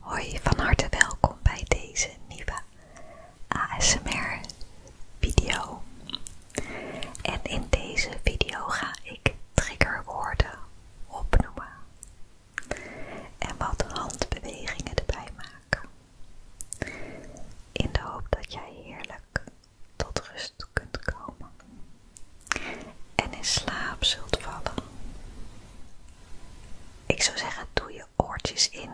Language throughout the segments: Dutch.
Hoi, van harte welkom bij deze nieuwe ASMR video. En in deze video ga ik triggerwoorden opnoemen en wat handbewegingen erbij maken. In de hoop dat jij heerlijk tot rust kunt komen en in slaap zult vallen. Ik zou zeggen, doe je oortjes in,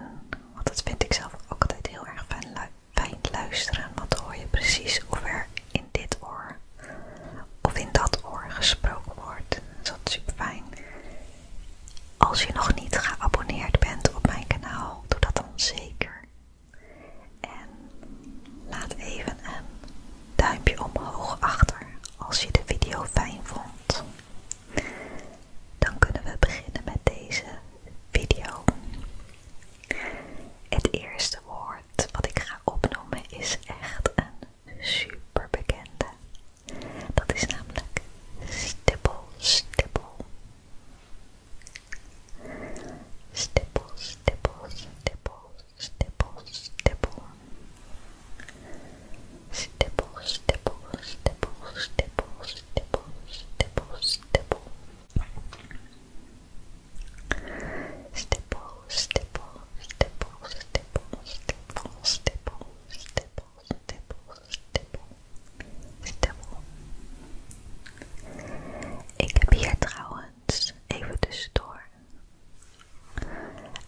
want dat vind ik zelf ook altijd heel erg fijn, luisteren, want dan hoor je precies of er in dit oor of in dat oor gesproken wordt. Dus dat is super fijn. Als je nog niet geabonneerd bent op mijn kanaal, doe dat dan zeker. En laat even een duimpje omhoog achter als je de video fijn vond. Dan kunnen we beginnen met deze video. Het eerste woord wat ik ga opnoemen is echt een super bekende. Dat is namelijk stippel, stippel. Stippel, stippel, stippel, stippel, stippel, stippel, stippel, stippel, stippel, stippel, stippel, stippel, stippel, stippel, stippel, stippel, stippel, stippel, stippel, stippel, stippel. Ik heb hier trouwens even tussendoor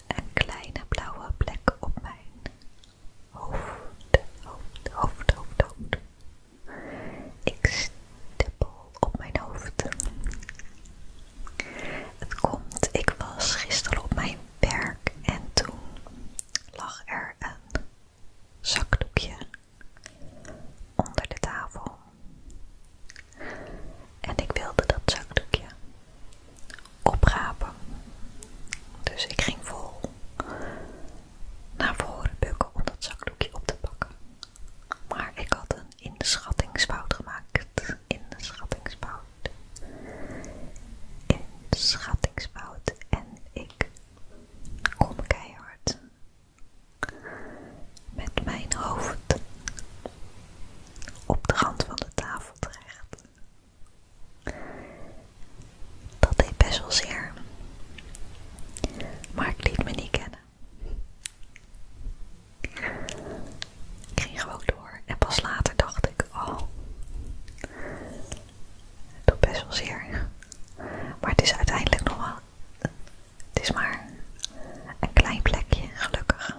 een kleine blauwe plek op mijn hoofd, hoofd, hoofd, hoofd, hoofd. Ik stippel op mijn hoofd. Het komt, ik was gisteren op mijn werk en toen lag er een zakdoekje onder de tafel. En ik wilde dat zakdoekje oprapen. Dus ik ging vol naar voren bukken om dat zakdoekje op te pakken. Maar ik had een inschattingsfout gemaakt. Inschattingsfout. Inschattingsfout. En ik kom keihard met mijn hoofd op de rand van de tafel terecht. Dat deed best wel zeer, maar ik liet me niet kennen. Ik ging gewoon door en pas later dacht ik, oh, het doet best wel zeer. Maar het is uiteindelijk nog wel, het is maar een klein plekje, gelukkig.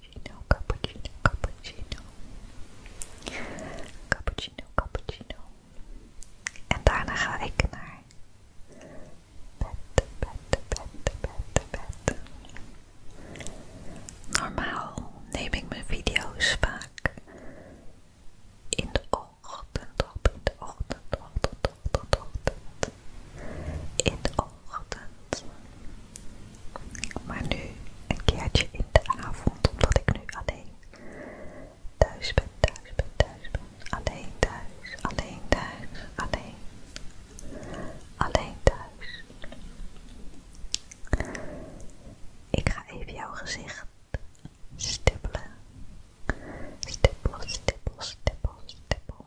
cappuccino, cappuccino, cappuccino. Cappuccino, cappuccino. En daarna ga ik naar bed, bed, bed, bed, bed. Normaal neem ik mijn video's vaak in de ochtend op, in de ochtend, ochtend, ochtend, ochtend. In de maar nu een keertje in de avond, omdat ik nu alleen thuis ben, thuis ben, thuis ben. Alleen thuis, alleen thuis, alleen. Alleen thuis. Ik ga even jouw gezicht stippelen. Stippel, stippel, stippel, stippel.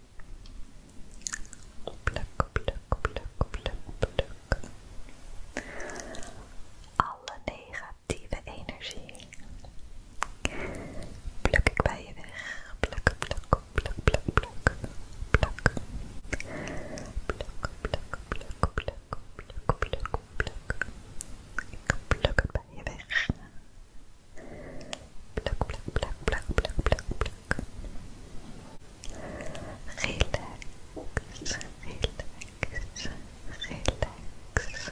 Pluk, pluk, pluk, pluk, pluk. Alle negatieve energie pluk ik bij je weg. Pluk, pluk, pluk, pluk, pluk, pluk. Pluk, pluk, pluk, pluk, pluk, pluk, pluk. Ik pluk het bij je weg. Pluck, pluck, pluck, pluck, pluck, pluck, pluck. Relax, relax, relax. Relax,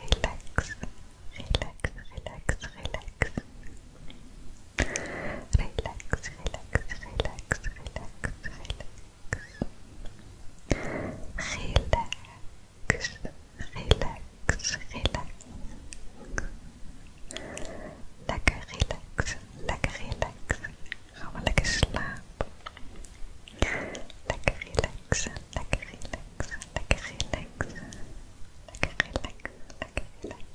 relax, relax. Relax, relax, relax. Relax, relax, relax, relax, relax. Relax. relax, relax. Lekker relax, lekker relax. Ga maar lekker slapen. Lekker relaxen, lekker relaxen, lekker relaxen. Lekker relaxen, lekker relaxen.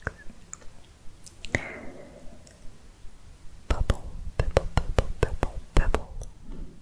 Bubble, bubble, bubble, bubble, bubble.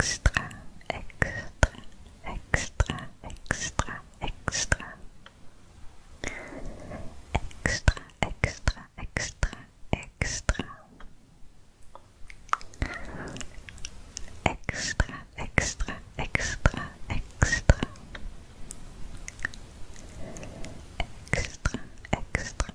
extra, extra, extra, extra, extra, extra, extra, extra, extra, extra, extra, extra, extra. Extra, extra, extra,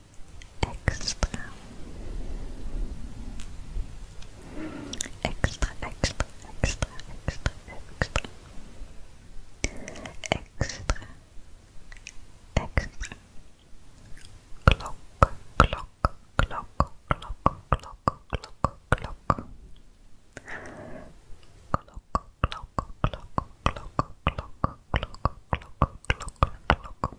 extra extra extra extra extra extra extra extra clock clock clock clock clock clock clock Clock, clock, clock, clock, clock, clock, clock, clock, clock,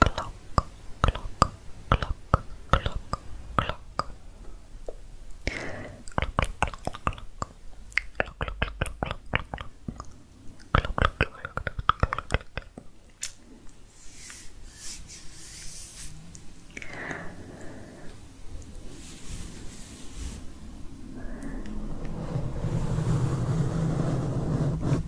clock, clock, clock, clock, clock. Clock,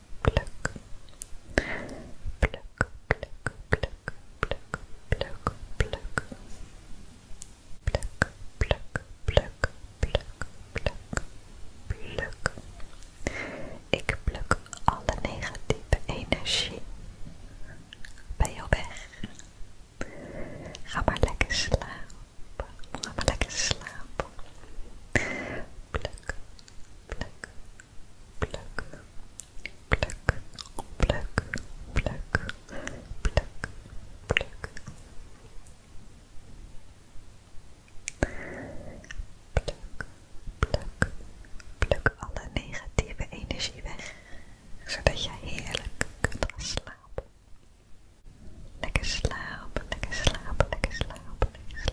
pluk, pluk, pluk, pluk, pluk, pluk, pluk, pluk, pluk, pluk, pluk, pluk, pluk. Ik pluk alle negatieve energie bij jou weg. Ga maar lekker slapen. Ga maar lekker slapen. pluk, pluk, pluk, pluk, pluk, pluk, pluk, pluk. Pluk, pluk, pluk alle negatieve energie weg, zodat je heerlijk kunt gaan slapen. Lekker slapen, lekker slapen, lekker slapen, lekker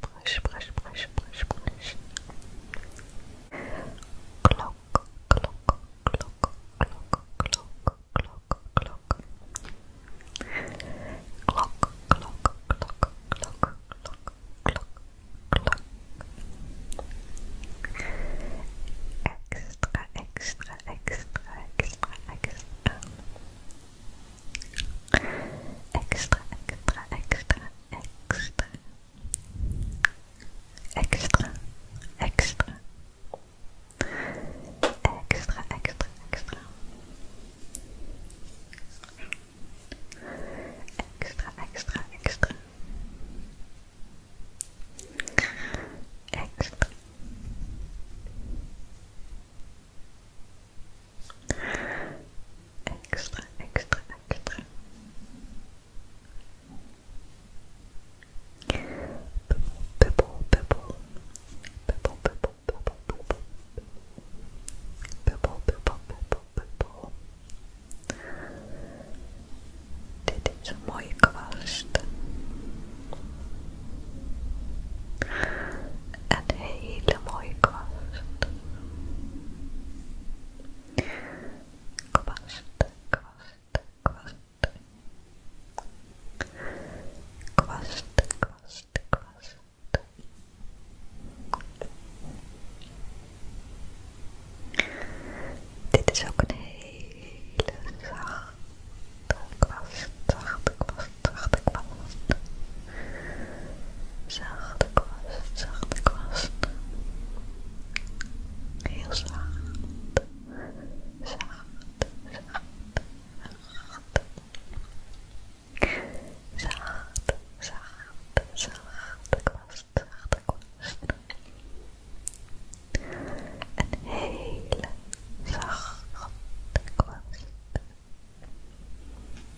brush, brush, Clock, clock, clock, clock, clock, clock, clock. Clock, clock, clock, clock, clock, clock, clock. Extra, extra, extra, extra, extra. Extra, extra, extra, extra. Extra, extra. Extra, extra, extra. Extra, extra, extra extra, extra, extra. Bubble, bubble, bubble, bubble, bubble, bubble, bubble, bubble, bubble, bubble. Dit is een mooie kwast. Een hele mooie kwast kwast, kwast, kwast. Kwast, kwast, kwast. Dit is ook een hele zachte kwast, zachte kwast, zachte kwast. Zachte kwast, zachte kwast. Heel zacht. Zacht, zacht, zacht. Zacht, zacht, zachte kwast, zachte kwast. Een hele zachte kwast.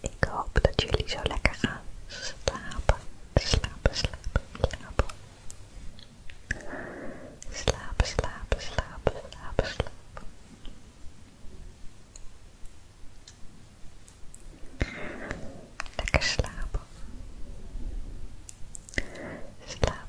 Ik hoop dat jullie zo lekker gaan slapen. Slapen, slapen, slapen. Slapen, slapen, slapen, slapen, slapen. Lekker slapen. Slapen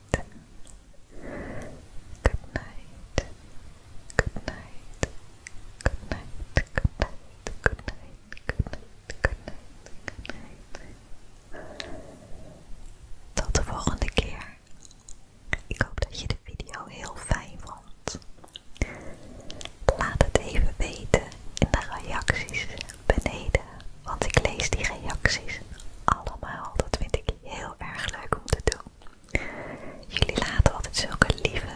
Good night. Good night. Good night. Good night. Good night. Good night. Tot de volgende keer. Ik hoop dat je de video heel fijn vond. Laat het even weten in de reacties beneden, want ik lees die reacties allemaal. Dat vind ik heel erg leuk om te doen. Jullie laten altijd zulke lieve,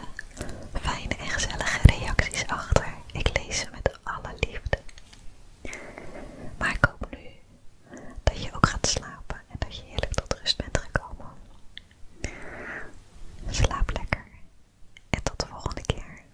fijne en gezellige reacties achter. Ik lees ze met alle liefde. Maar ik hoop nu dat je ook gaat slapen en dat je heerlijk tot rust bent gekomen. Slaap lekker en tot de volgende keer.